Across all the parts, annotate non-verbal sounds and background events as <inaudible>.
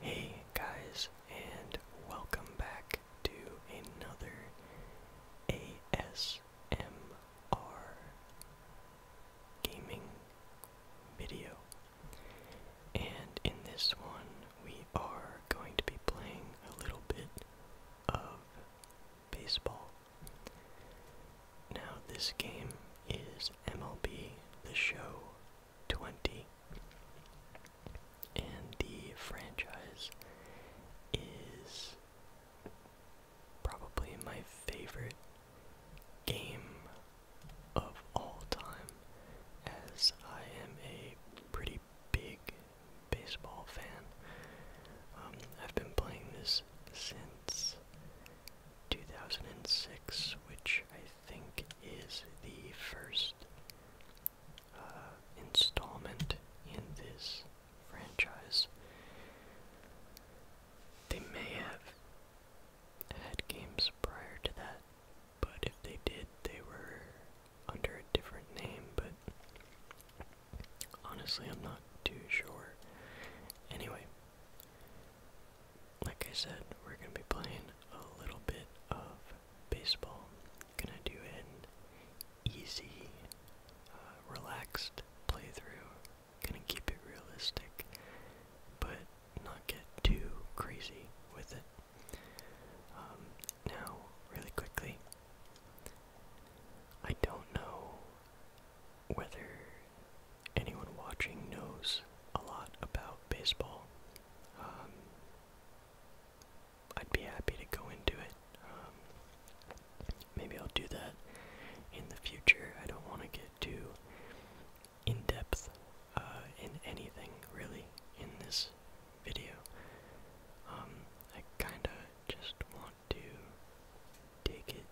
Hey guys, and welcome back to another ASMR gaming video. And in this one, we are going to be playing a little bit of baseball. Now, this game is MLB The Show 20. And the franchise is probably my favorite game of all time, as I am a pretty big baseball fan. Um, I've been playing this since 2006, which I think is the first uh, installment in this franchise. They may have had games prior to that, but if they did, they were under a different name, but honestly, I'm not too sure. Anyway, like I said, we're going to be playing a little bit of baseball. Gonna do an easy, uh, relaxed playthrough. Gonna keep it realistic, but not get too crazy with it. Um, now, really quickly, I don't know whether anyone watching knows a lot about baseball. Um, I'd be happy to go into it. Um, maybe I'll do that in the future. I don't want to get too in depth uh, in anything really in this video. Um, I kind of just want to take it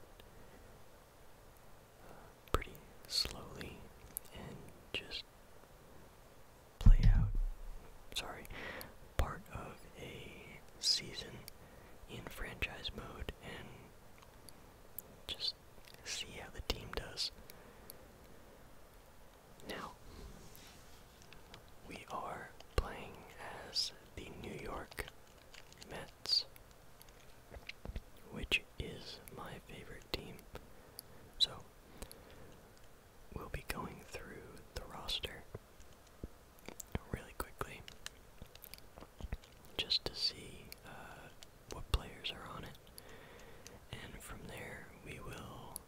pretty slowly and just play out, sorry, part of a season in franchise mode and just see how the team does. Now, we are playing as the New York which is my favorite team. So, we'll be going through the roster really quickly just to see uh, what players are on it. And from there, we will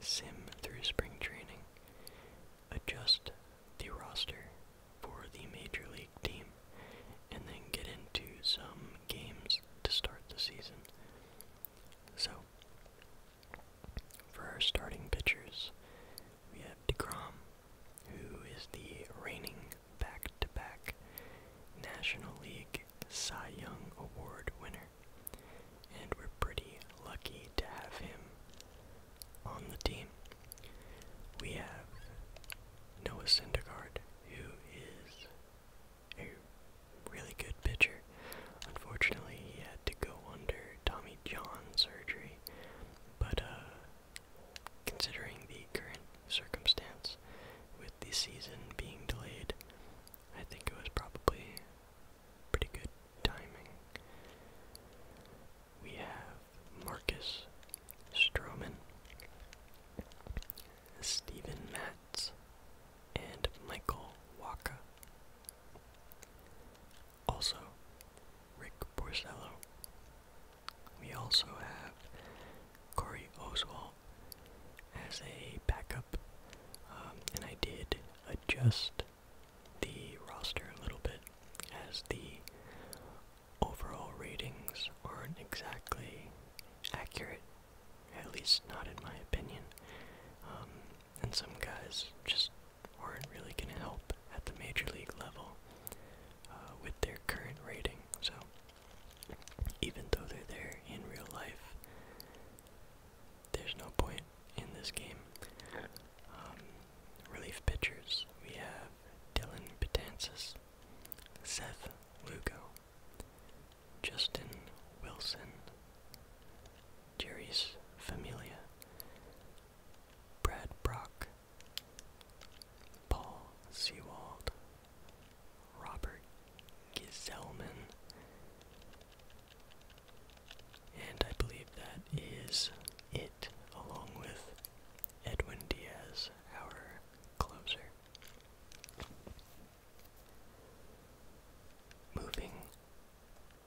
sim through spring training, adjust the roster for the Major League team and then get into some games to start the season. So, for our starting pitchers, we have DeGrom, who is the reigning back to back National League Cy Young Award winner. And we're pretty lucky to have him on the team. We have Noah Syndergaard, who is a really good pitcher. Unfortunately, he had to go under Tommy John surgery, but uh, considering the current circumstance with the season being delayed, I think it was probably pretty good timing we have Marcus Stroman, Stephen Matz, and Michael Waka. Also, Rick Porcello. We also have Corey Oswald as a backup, um, and I did adjust the roster a little bit as the overall ratings aren't exactly accurate, at least not in my opinion. Um, and some guys just aren't really going to help at the major league level uh, with their current rating. So even though they're there in real life, there's no point in this game. Um, Relief pitchers, we have Dylan Betances, Seth Lugo, Justin Wilson, Jerry's Familia, Brad Brock, Paul Sewald, Robert Gizelman, and I believe that is it, along with Edwin Diaz, our closer. Moving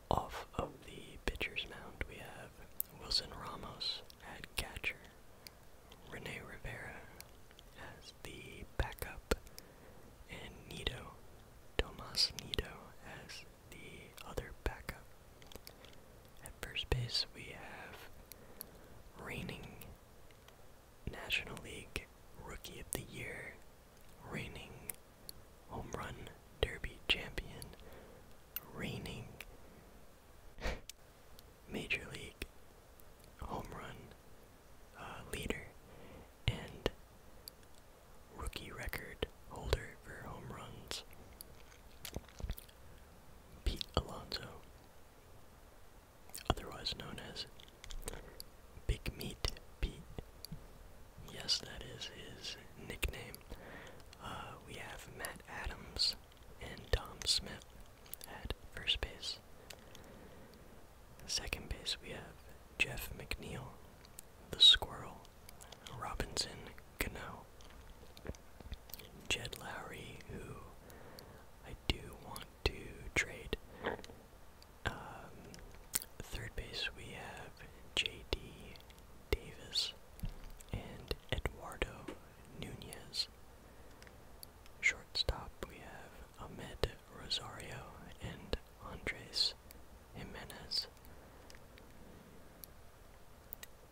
off of the pitcher's mound, we have Wilson Ramos at catcher, Rene Rivera as the backup, and Nito, Tomas Nito as the other backup. At first base, we have reigning National League Rookie of the Year, reigning Home Run Derby champion, reigning Major League Home Run uh, leader, and rookie record holder for home runs. Pete Alonso, otherwise known as Big Meat Pete. Yes, that is his nickname. Uh, we have Matt Adams and Tom Smith at first base. Second base, we have Jeff McNeil, the Squirrel, Robinson Cano. Jed Lowry, who I do want to trade. Um, third base, we have J.D. Davis and Eduardo Nunez. Shortstop, we have Ahmed Rosario and Andres Jimenez.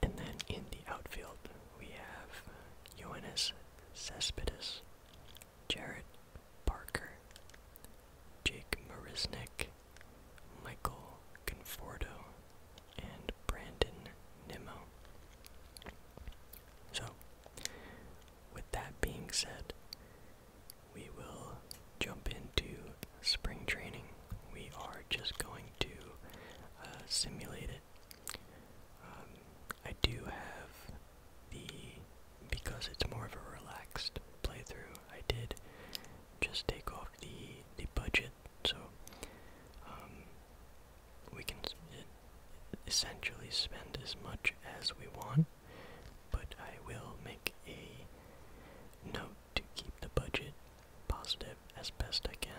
And then in the outfield, we have Ioannis Cespedes, Jared Parker, Jake Mariznick, Michael Conforto, and Brandon Nimmo. So, with that being said, we will jump into spring training. We are just going to uh, simulate it. Um, I do have the because it's more of a relaxed playthrough. I did just take off the the budget, so um, we can essentially spend as much as we want. But I will make a note to keep the budget positive as best I can.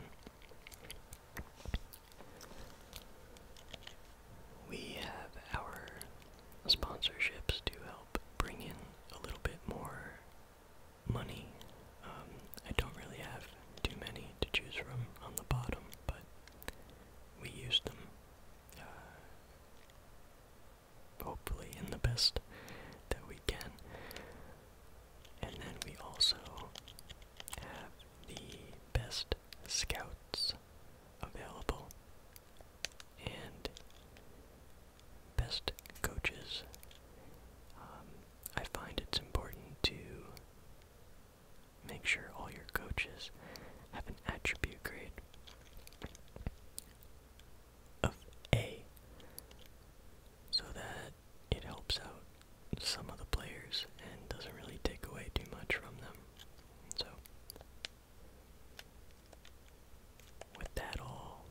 We have our sponsorships to help bring in a little bit more money. Um, I don't really have too many to choose from on the bottom, but we use them uh, hopefully in the best that we can. And then we also have the best scouts available and best coaches. Um, I find it's important to make sure all your coaches have an attribute grade of A so that it helps out some of the players and doesn't really take away too much from them. So, with that all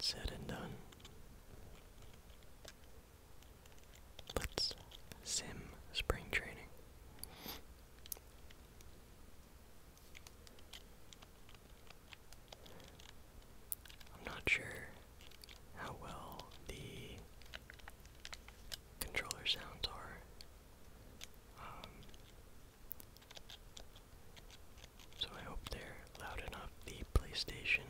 said and done, let's sim spring training. I'm not sure how well the controller sounds are. Um, so I hope they're loud enough. The PlayStation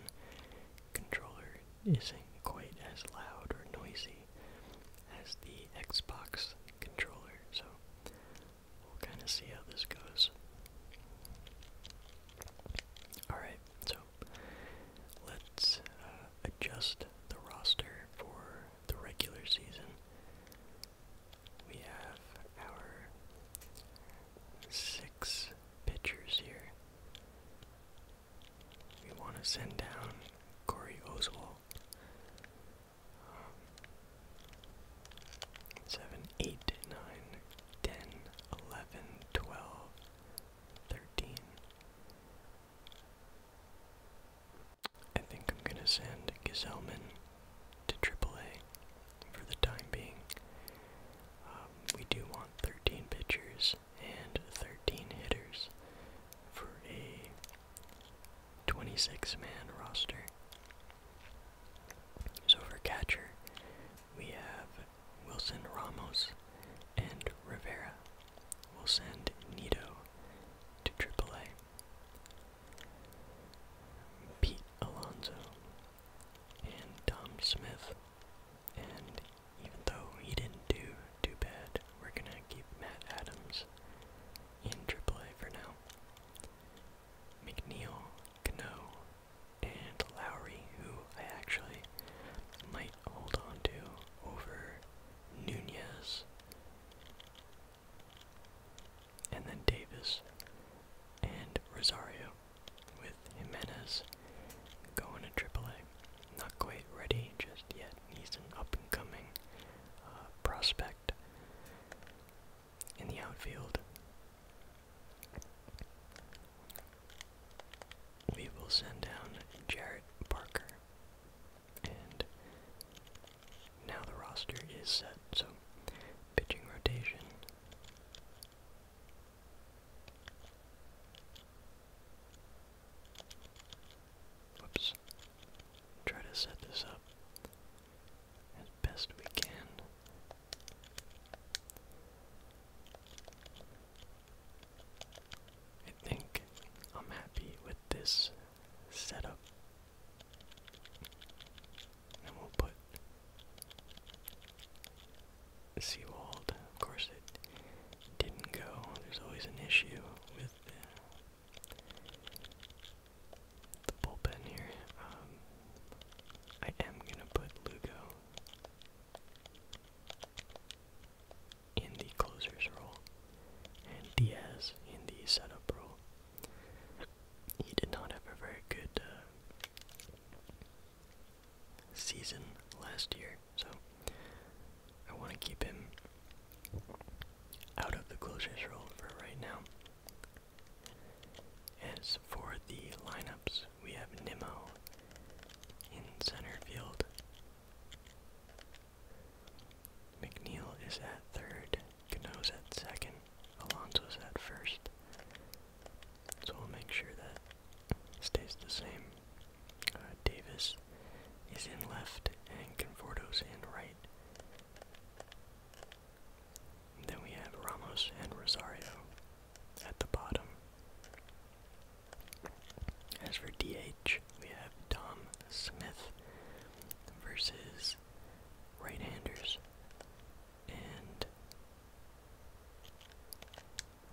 controller isn't quite as loud or noisy as the Xbox controller, so We'll kind of see how this goes. Alright, so let's uh, adjust the roster for the regular season. We have our six pitchers here. We want to send down Corey Oswald. Um, seven, eight, nine, ten, eleven, twelve, thirteen. I think I'm gonna send Gazelman to AAA for the time being. Um, we do want 13 pitchers and 13 hitters for a 26 man roster. So for catcher, we have Wilson Ramos and Rivera. We'll send Nito to AAA. Pete Alonso and Tom Smith. And even though he didn't do too bad, we're gonna keep Matt Adams in AAA for now. McNeil Cano, and Lowry, who I actually might hold on to over Nunez, and then Davis and Rosario with Jimenez going to AAA. Not quite ready just yet. He's an up and coming uh, prospect in the outfield. We will send down Jarrett Parker. And now the roster is set, so pitching rotation. Whoops. Try to set this up as best we can. I think I'm happy with this setup. And we'll put Seawald. Of course, it didn't go. There's always an issue with the bullpen here. Um, I am gonna put Lugo in the closer's role and Diaz in the setup role. He did not have a very good uh, season last year, so I want to keep him out of the closer's role for right now. As for the lineups, we have Nimmo in center field. McNeil is at third, Cano's at second, Alonso is at first. So we'll make sure that stays the same. Uh, Davis is in left and Conforto's in right. Then we have Ramos and Rosario at the bottom. As for DH, we have Tom Smith versus right-handers. And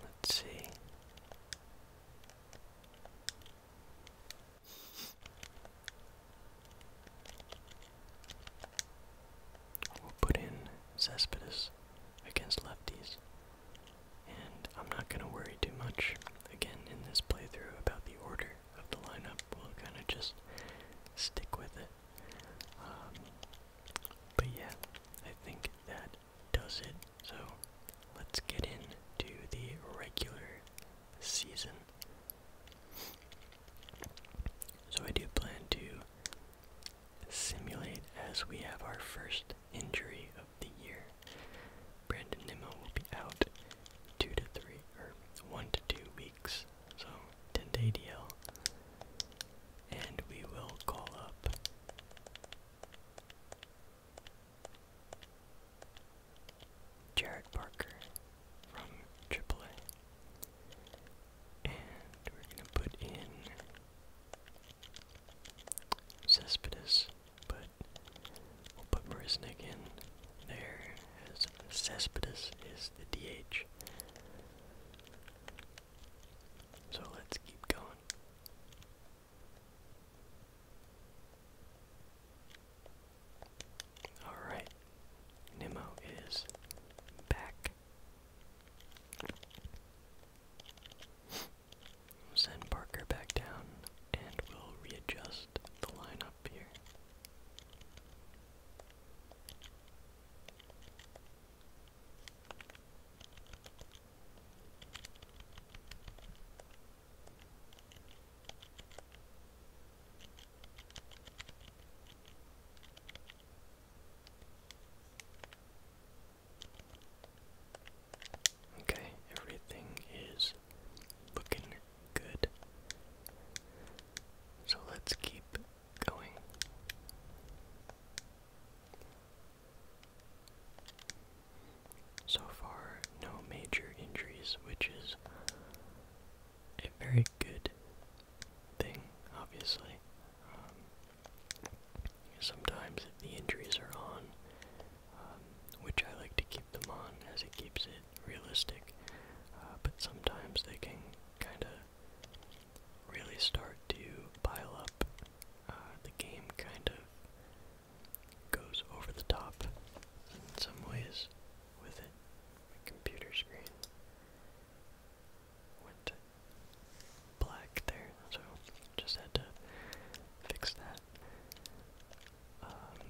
let's see. We'll put in Cespedes against lefties. And I'm not going to worry too much again in this playthrough about the order of the lineup. We'll kind of just stick with it. Um, but yeah, I think that does it. So let's get into the regular season. So I do plan to simulate as we have our first injury of the year. Brandon Nimmo will be out two to three or one to two weeks. So 10 day DL. And we will call up Jared Parker from AAA. And we're going to put in Cespedes, but we'll put Marisnik in there as Cespedes is the DH. So let's keep going. Alright, Nemo is back. send Parker back down and we'll readjust the lineup here. Okay, everything is looking good. So let's keep going. So far, no major injuries, which is a very good thing, obviously. Um, sometimes if the injuries are on, um, which I like to keep them on as it keeps it realistic, uh, but sometimes they can kind of really start to pile up. Uh, the game kind of goes over the top in some ways with it computer screen went black there, so just had to fix that. Um,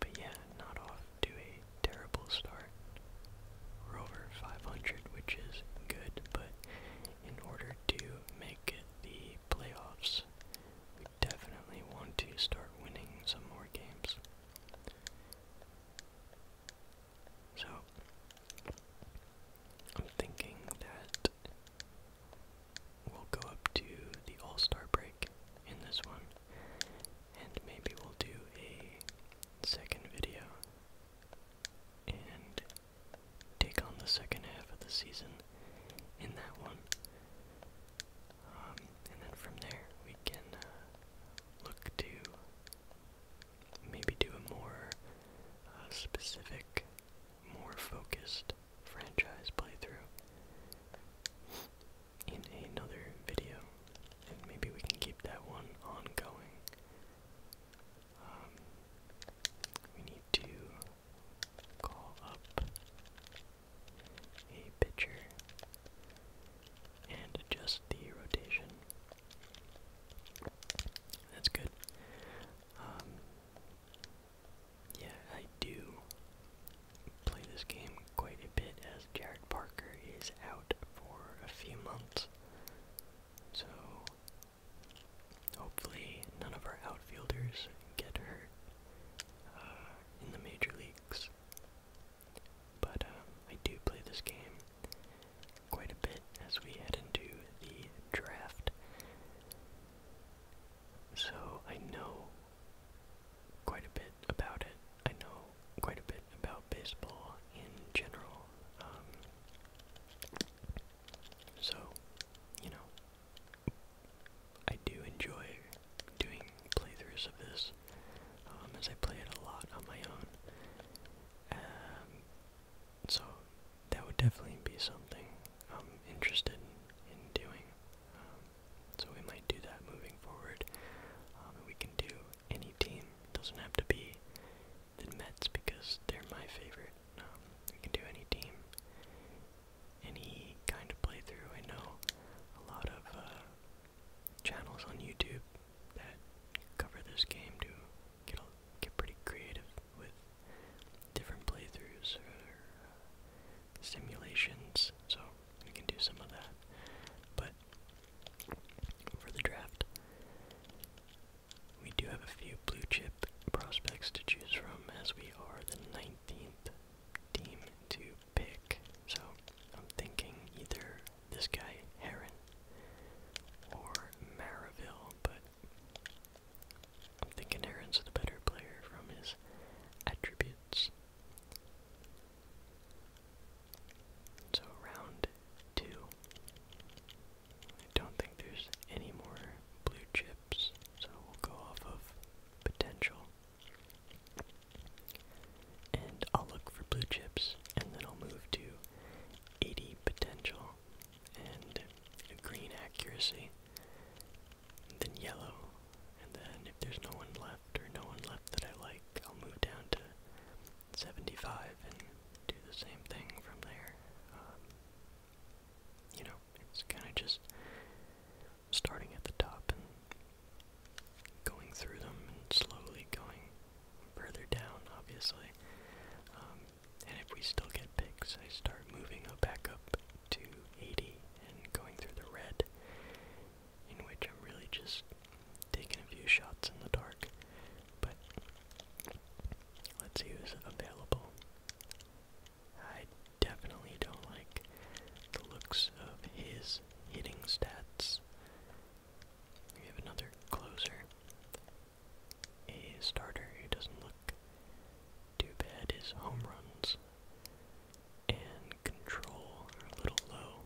but yeah, not off to a terrible start. we 500, which is good, but in order to make the playoffs, we definitely want to start winning some more games. So, I'm thinking that we'll go up to the All Star break in this one, and maybe we'll do a second video and take on the second half of the season in that one. Um, and then from there, we can uh, look to maybe do a more uh, specific, more focused franchise playthrough in another video. And maybe we can keep that one ongoing. Um, we need to call up a pitcher, and adjust the rotation. That's good. Um, yeah, I do play this game quite a bit as Jared Parker is out for a few months. So hopefully none of our outfielders get hurt uh, in the major leagues. But um, I do play this game quite a bit as we head into the draft. So I know quite a bit about it. I know quite a bit about baseball in general. Um, so, you know, I do enjoy doing playthroughs of this, um, as I play it a lot on my own. Um, so that would definitely be something I'm interested in, doing. Um, so we might do that moving forward. Um, we can do any team. doesn't have to be the Mets because they're my favorite. Um, we can do any team, any kind of playthrough. I know a lot of uh, channels on YouTube that cover this game do get get pretty creative with different playthroughs or uh, simulations. So we can do some of that, but for the draft. We do have a few blue chip prospects to choose from as we are the 19th team to pick. So I'm thinking either this guy, Heron, or Maraville, but I'm thinking Heron's the better player from his attributes. So round two. I don't think there's any more blue chips, so we'll go off of potential. And I'll look for blue chips and then I'll move to 80 potential and green accuracy. then yellow. And then if there's no one left or no one left that I like, I'll move down to 75 and do the same thing from there. Um, you know, it's kind of just starting at the top and going through them and slowly going further down, obviously. Um, and if we still get picks, I start moving back up to 80 and going through the red, in which I'm really just taking a few shots in the dark. But let's see who's available. I definitely don't like the looks of his hitting stats. We have another closer. A starter who doesn't look too bad is home runs. And control are a little low.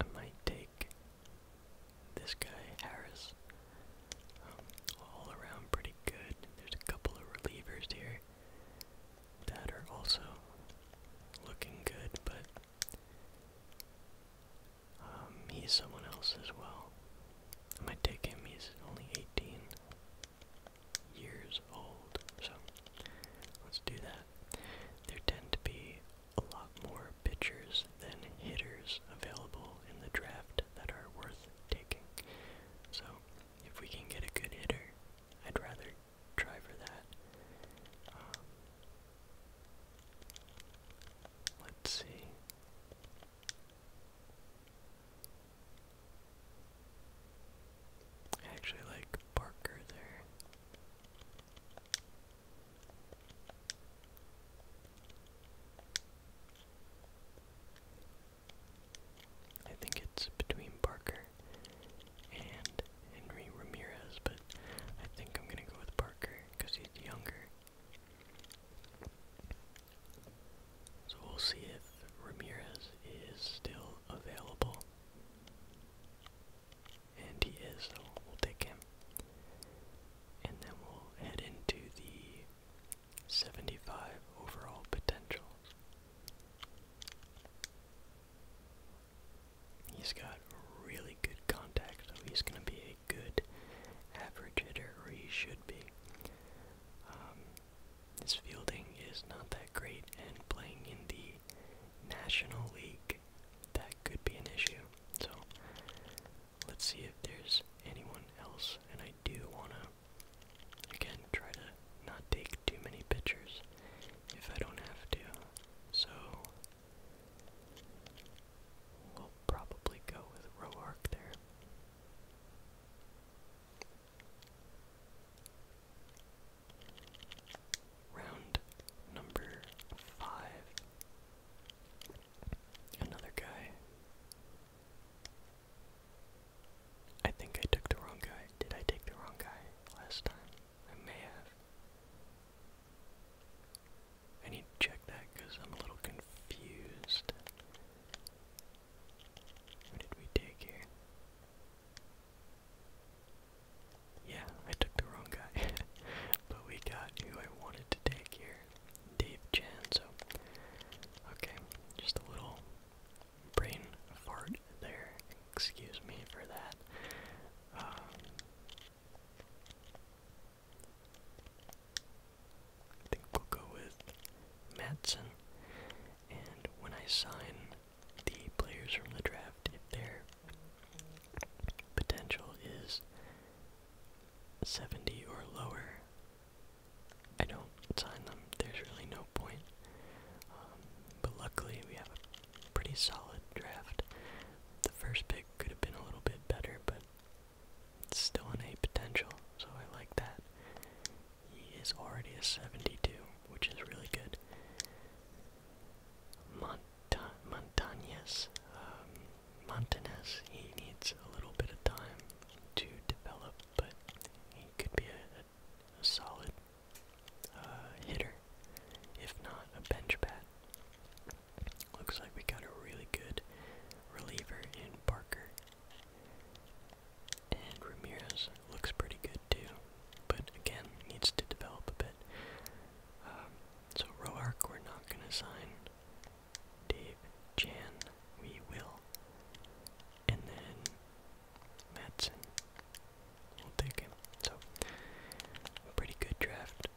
I might take this guy, Harris, um, all around pretty good. There's a couple of relievers here that are also looking good, but um, he's someone else as well. I might take him, he's only 18 years old, so let's do that. There tend to be a lot more pitchers than hitters available in the draft that are worth taking. So if we can get a good hitter, I'd rather try for that. Um, let's see. I actually like Parker there. I think it's between Barker and Henry Ramirez, but I think I'm gonna go with Barker because he's younger. So we'll see if Ramirez is still available and he is, so we'll take him. And then we'll head into the 75 overall potential. He's got really good contact, so he's going to be a good average hitter, or he should be. Um, his fielding is not that great, and playing in the National League, that could be an issue. So Let's see if there's anyone else, and I do want to, again, try to not take too many pictures if I don't have to. So, we'll probably go with Roark there. Round number five Another guy. I think I took the wrong guy. Did I take the wrong guy last time? I may have. I need to check that because I'm a little confused. What did we take here? Yeah, I took the wrong guy. <laughs> but we got who I wanted to take here. Dave Janzo. Okay, just a little brain fart there. Excuse me for that. Um, think we'll go with Matson. And when I sign the players from the draft, if they're Potential is 70 or lower. I don't sign them, there's really no point. Um, but luckily, we have a pretty solid draft. The first pick could have been a little bit better, but it's still an A potential, so I like that. He is already a 72, which is really good. Mont Montañez, um, he needs a little bit of time to develop, but he could be a, solid uh, hitter, if not a bench bat. Looks like we got a really good reliever in Parker. And Ramirez looks pretty good too, but again, needs to develop a bit. Um, so Roark we're not gonna sign. Dave Chan we will. And then Matson. We'll take him. So pretty good draft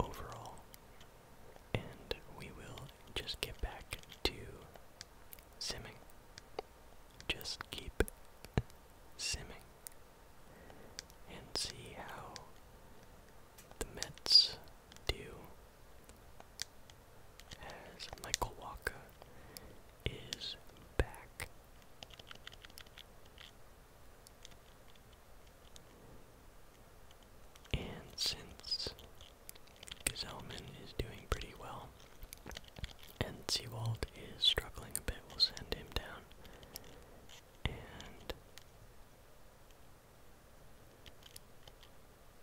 overall. And we will just get back to simming. Just keep simming and see how the Mets do as Michael Walker is back. And since Gazelman is doing pretty well and Seawald is struggling a bit, we'll send him down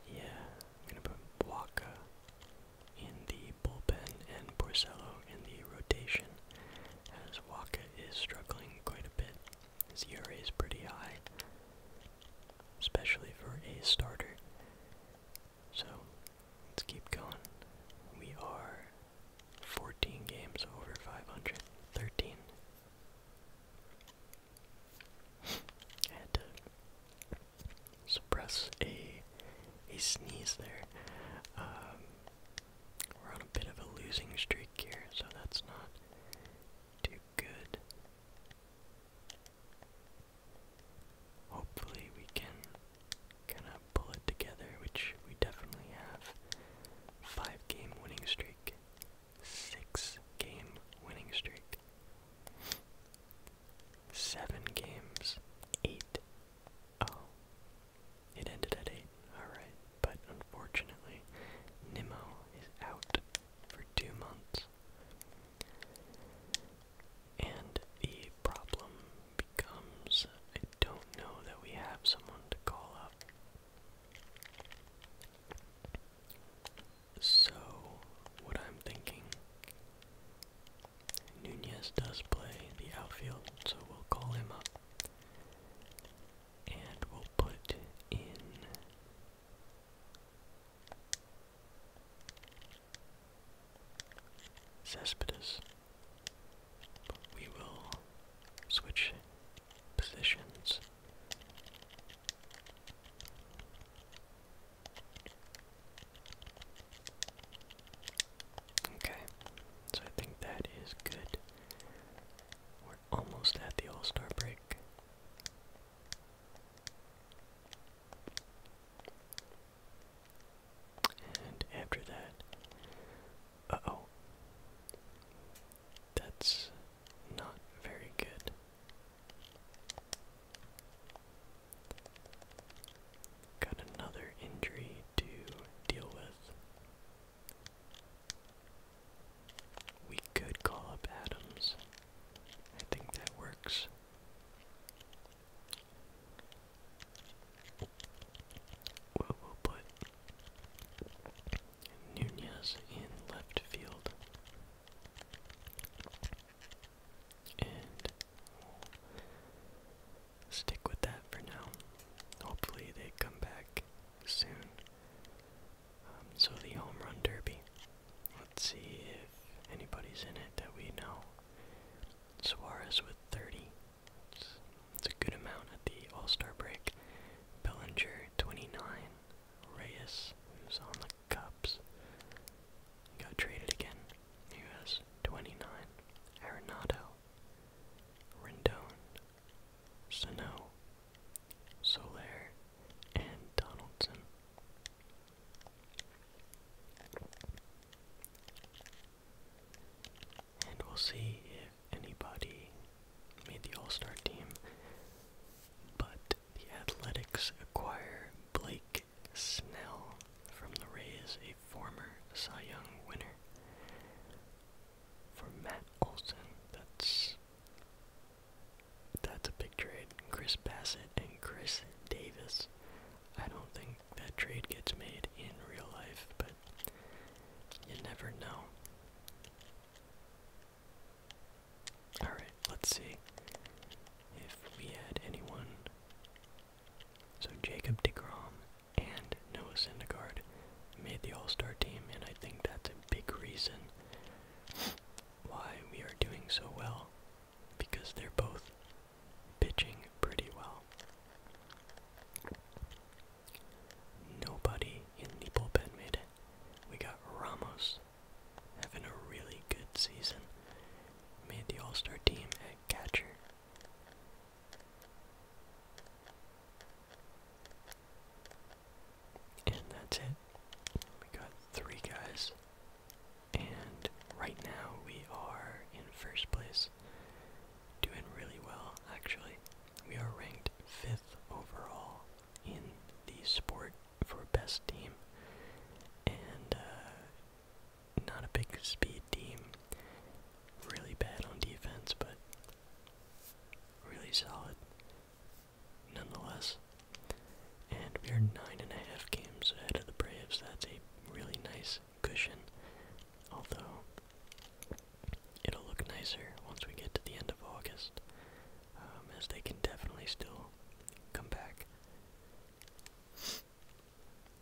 yeah, I'm gonna put Waka in the bullpen and Porcello in the rotation, as Waka is struggling quite a bit. His ERA is pretty high, especially for a starter. So let's keep going. We are 14 games over five hundred, thirteen. suppress a a sneeze there. Um, we're on a bit of a losing streak here, so that's not too good. Hopefully we can kind of pull it together, which we definitely have. Five game winning streak, six game winning streak, seven games, eight. Oh, it ended at eight. Alright, but unfortunately, Nimmo is out for two months. And the problem becomes I don't know that we have someone to call up. So, what I'm thinking, Nunez does play the outfield, so we'll call him up. And we'll put in. Cespedes we will switch positions. Okay, so I think that is good. We're almost at the All Star break. And after that, oh. That's not very good. Got another injury to deal with. We could call up Adams. I think that works we'll put Nunez in left field. And stick with that for now. Hopefully they come back soon. Um, so the home run derby. Let's see if anybody's in it that we know. Suarez with 30. It's, a good amount at the All Star break. Bellinger, 29. Reyes, who's on the Cubs, got traded again. He has 29. Arenado, Rendon, Sano, Solaire, and Donaldson and we'll see if anybody made the All Star team. But the Athletics acquire Blake Snell from the Rays, a former Cy Young winner. For Matt Olson, that's that's a big trade. Chris Bassett and Chris Davis. I don't think that trade gets made in real life, but you never know. Alright, let's see if we had anyone. So Jacob DeGrom and Noah Syndergaard made the All-Star team, and I think that's a big reason why we are doing so well, because they're both pitching pretty well. Nobody in the bullpen made it. We got Ramos having a really good season. Made the All Star team at catcher. And that's it. We got three guys. And right now we are in first place Doing really well, actually. We are ranked fifth overall in the sport for best team, and uh, not a big speed team. Really bad on defense, but really solid nonetheless. And we are nine and a half games ahead of the Braves. That's a really nice cushion, although it'll look nicer once we get to the end of August, um, as they can definitely still come back.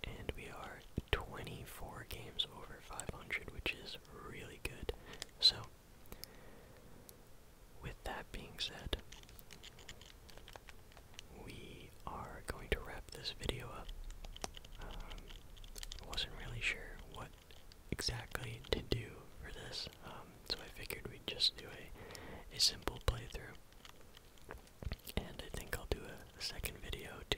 And we are 24 games over 500, which is really good. So, with that being said, we we are going to wrap this video up. Um, I wasn't really sure what exactly to do for this, um, so I figured we'd just do a, a simple playthrough. And I think I'll do a, second video to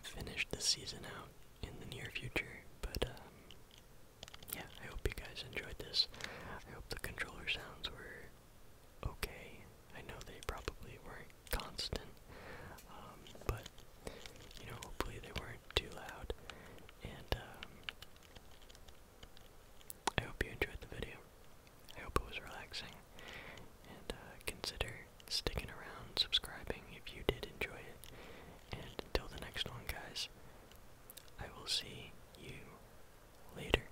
finish the season out in the near future, but um, yeah, I hope you guys enjoyed this. I hope the controller sounds were okay. I know they probably weren't constant, um, but you know, hopefully they weren't too loud. And um, I hope you enjoyed the video. I hope it was relaxing. And uh, consider sticking around, subscribing if you did enjoy it. And until the next one, guys, I will see you later.